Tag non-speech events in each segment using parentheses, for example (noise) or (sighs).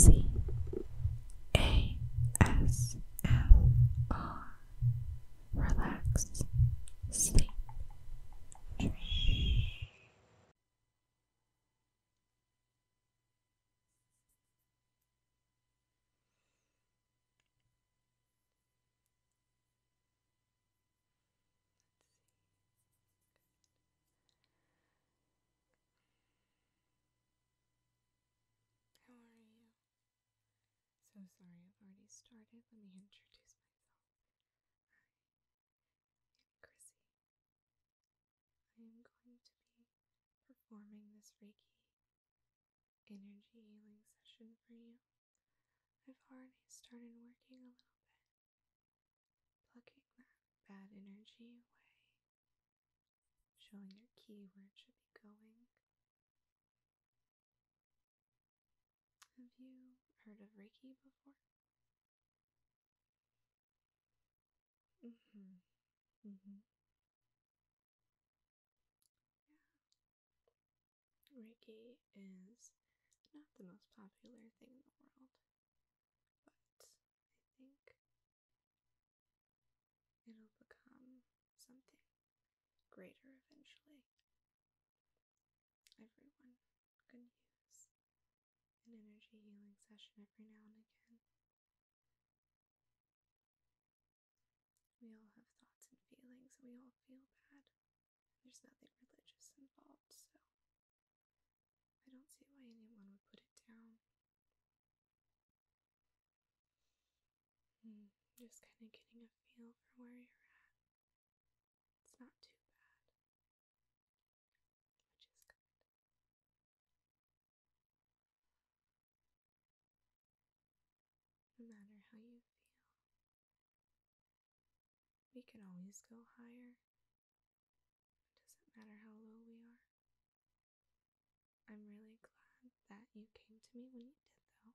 C A S M R Relax Sleep Dream how are you? So sorry, I've already started. Let me introduce myself. I'm Chrissy. I am going to be performing this Reiki energy healing session for you. I've already started working a little bit Plugging that bad energy away, showing your key where it should be going. Have you heard of Reiki before? Mm-hmm. Mm-hmm. Yeah. Reiki is not the most popular thing in the world but I think it'll become something greater eventually. Everyone can use an energy healing session every now and again. We all have thoughts and feelings, and we all feel bad. There's nothing religious involved, so I don't see why anyone would put it down. Hmm, just kind of getting a feel for where you're at. It's not too bad, which is good. No matter how you feel, we can always go higher it doesn't matter how low we are. I'm really glad that you came to me when you did, though.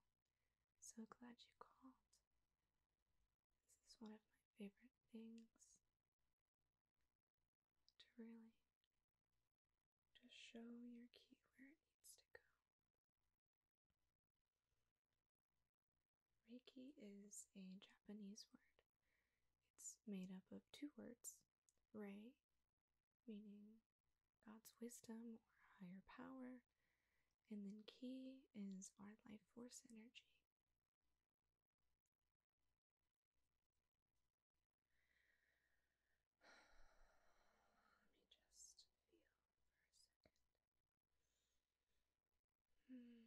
So glad you called. This is one of my favorite things to really just show your key where it needs to go. Reiki is a Japanese word. It's made up of two words Rei, meaning God's wisdom or higher power, and then Ki is our life force energy. (sighs) Let me just feel for a second. Hmm.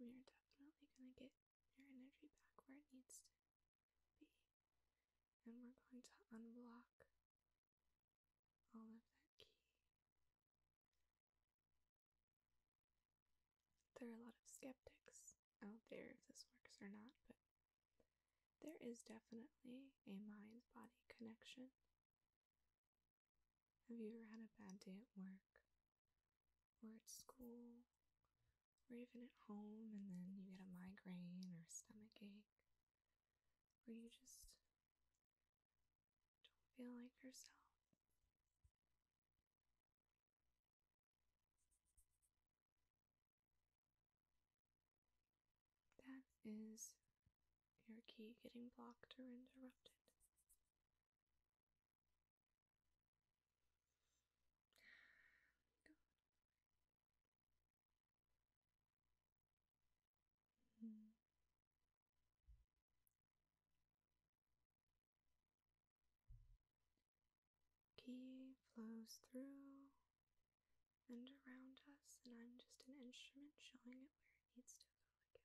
We are definitely going to get your energy back where it needs to be. And we're going to unblock all of that There are a lot of skeptics out there if this works or not, but there is definitely a mind body connection. Have you ever had a bad day at work or at school or even at home and then you get a migraine or stomach ache or you just don't feel like yourself? That is your key getting blocked or interrupted. Key flows through and around us, and I'm just an instrument showing it where it needs to go again.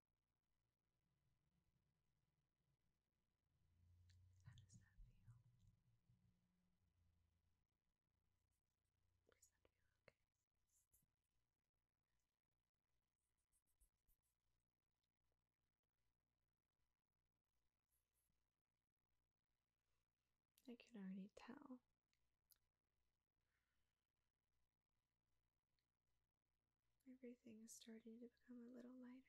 How does that feel? Does that feel okay? I can already tell Everything is starting to become a little lighter. I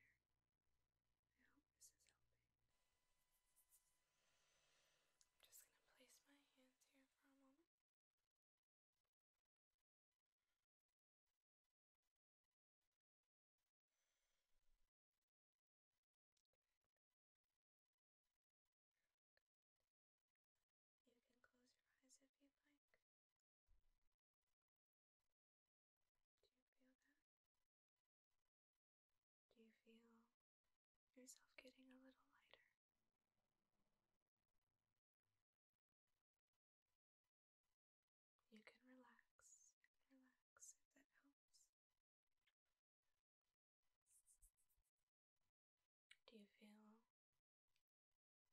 hope this is helping. I'm just going to place my hands here for a moment. You can close your eyes if you'd like. Do you feel that? Do you feel yourself getting a little lighter? You can relax relax if that helps. Do you feel as if the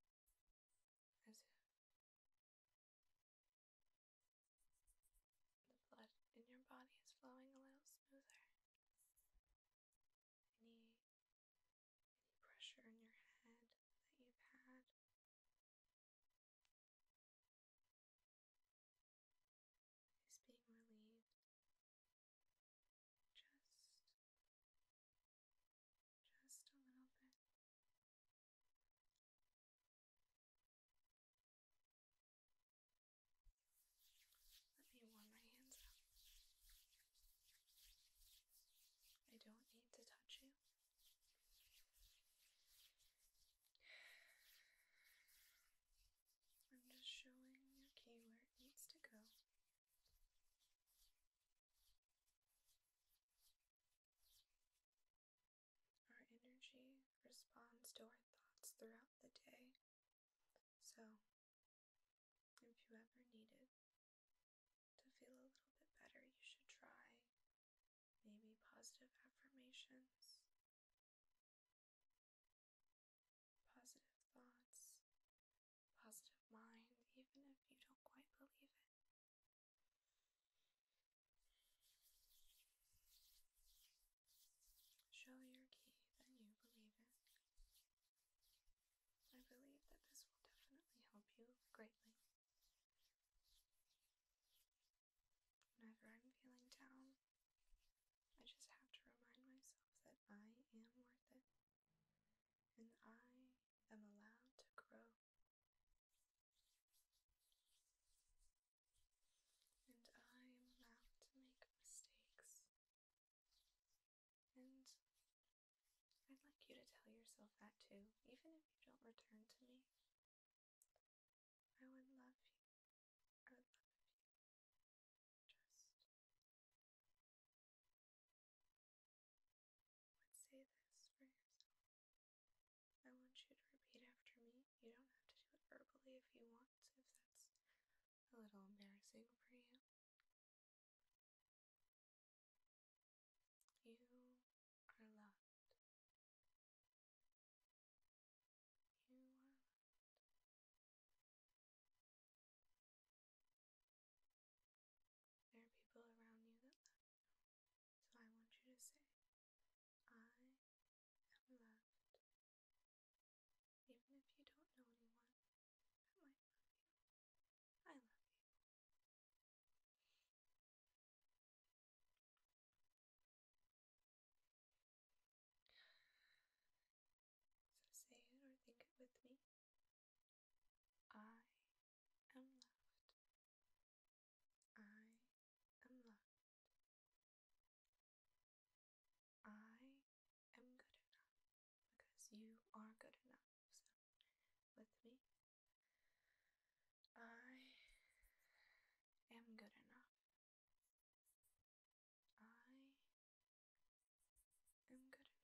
blood in your body is flowing a little smoother? Any, any pressure in your head that you've had? Is being relieved just a little bit. Let me warm my hands up. I don't need to touch you. I'm just showing you okay where it needs to go our energy responds to our thoughts throughout the day. So, if you ever needed to feel a little bit better, you should try maybe positive affirmations positive thoughts, positive mind, even if you don't quite believe it. Show your key that you believe it. I believe that this will definitely help you greatly. Whenever I'm feeling down, I just have to remind myself that I am worth it and I am allowed to grow. And I am allowed to make mistakes. And I'd like you to tell yourself that too, even if you don't return to me. I would love you. I would love you say this for yourself. I want you to repeat after me. You don't have to do it verbally if you want to, if that's a little embarrassing for you. You are loved. You are loved. There are people around you that love you. So I want you to say, I am loved. Even if you don't know anyone that might love you, I love you. So say it or think it with me. I am loved. I am loved. I am good enough because you are good enough. with me. I am good enough I am good enough. Do you feel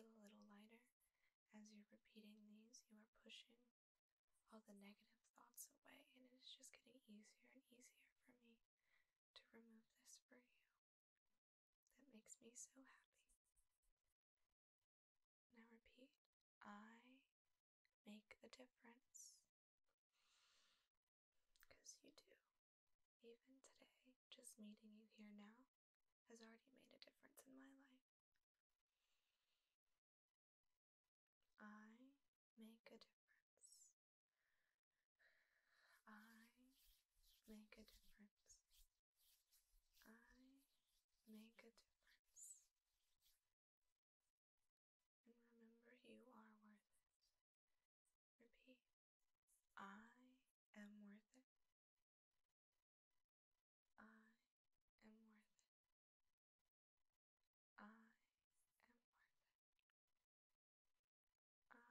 a little lighter? As you're repeating these, you are pushing all the negative thoughts away, and it is just getting easier and easier for me to remove this for you. That makes me so happy. Now repeat I make the difference. Because you do. Even today, just meeting you here now has already made a difference in my life. I make a difference. I make a difference. I make a difference. And remember, you are worth it. Repeat I am worth it. I am worth it. I am worth it.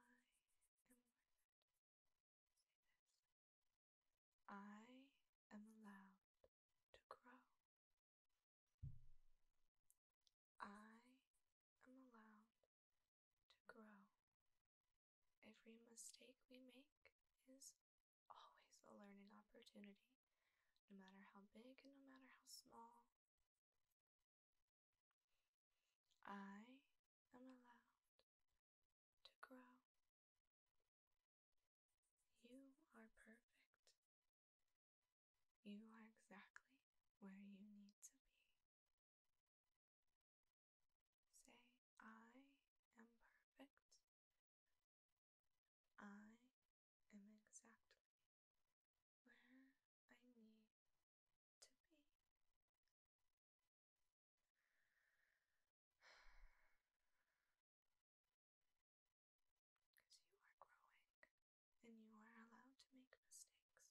I am worth it. I am allowed to grow. I am allowed to grow. Every mistake we make is always a learning opportunity, no matter how big and no matter how small. I am allowed to grow. You are perfect you are exactly where you need to be. Say, I am perfect. I am exactly where I need to be. Because you are growing and you are allowed to make mistakes.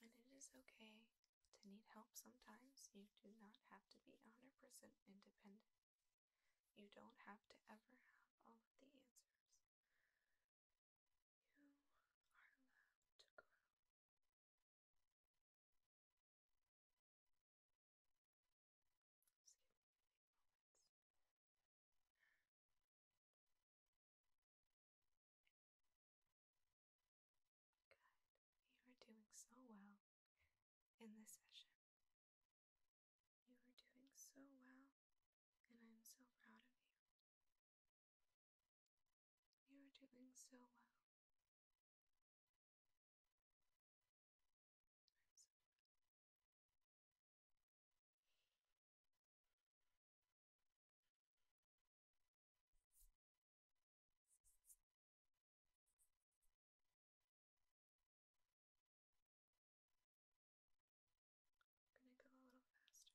And it is okay to need help sometimes. You do not have to be 100% independent. You don't have to ever have all of the answers. You are allowed to grow. You are doing so well in this session. You are doing so well, and I'm so proud of you. You are doing so well. I'm going to go a little faster.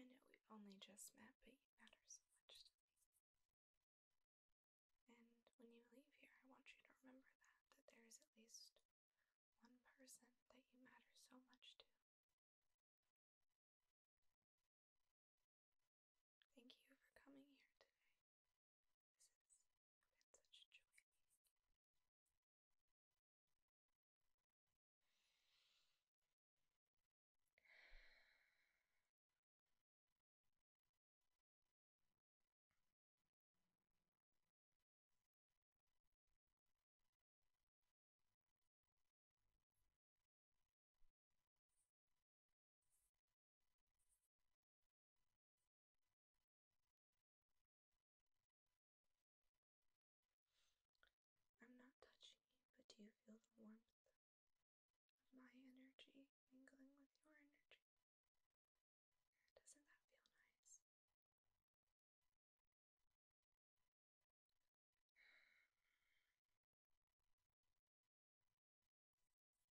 I know we've only just met, but you matter so much to me. And when you leave here, I want you to remember that, that there is at least one person that you matter so much to. Thank you for coming here today. This has such a joy. I'm not touching you, but do you feel the warmth of my energy mingling with your energy? Doesn't that feel nice?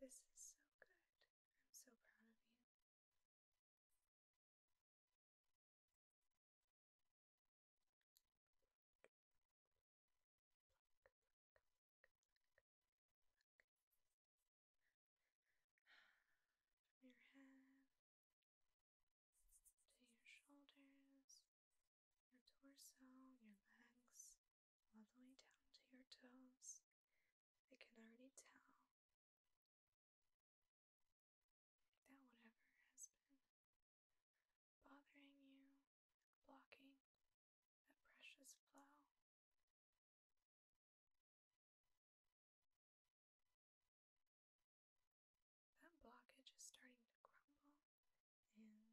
Perfect. Perfect. This is so good. I'm so proud of you. (sighs) your head to your shoulders, your torso, your legs, all the way down to your toes. I can already tell that whatever has been bothering you, blocking that precious flow that blockage is starting to crumble, and you're going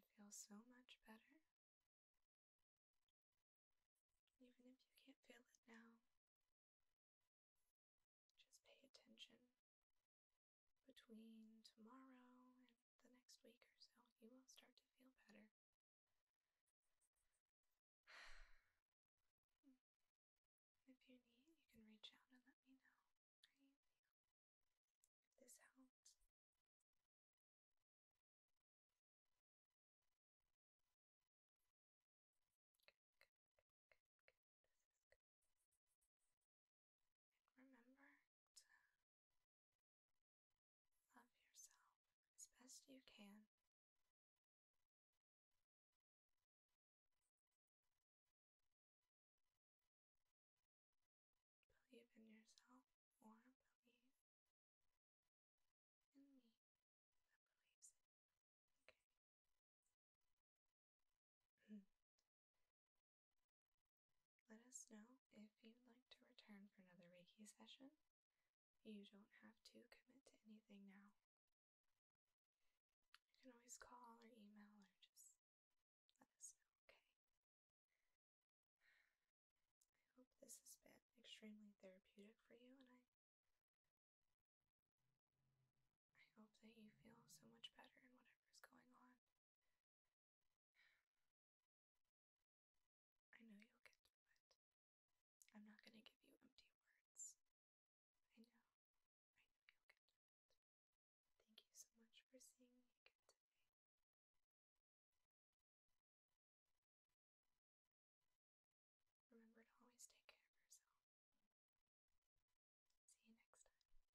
to feel so much better. Even if you can't feel it now, just pay attention between tomorrow and the next week or so, you will start to feel better. (sighs) If you need, you can reach out and let me know. If this helps. remember Love yourself as best you can. Believe in yourself or believe in me let us know if you'd like to return for another Reiki session. You don't have to commit to anything now. You can always call or email or just let us know, okay? I hope this has been extremely therapeutic for you and I I hope that you feel so much better in whatever's going on. I know you'll get through it. I'm not going to give you empty words. I know. I know you'll get through it. Thank you so much for seeing me again today. Remember to always take care of yourself. See you next time.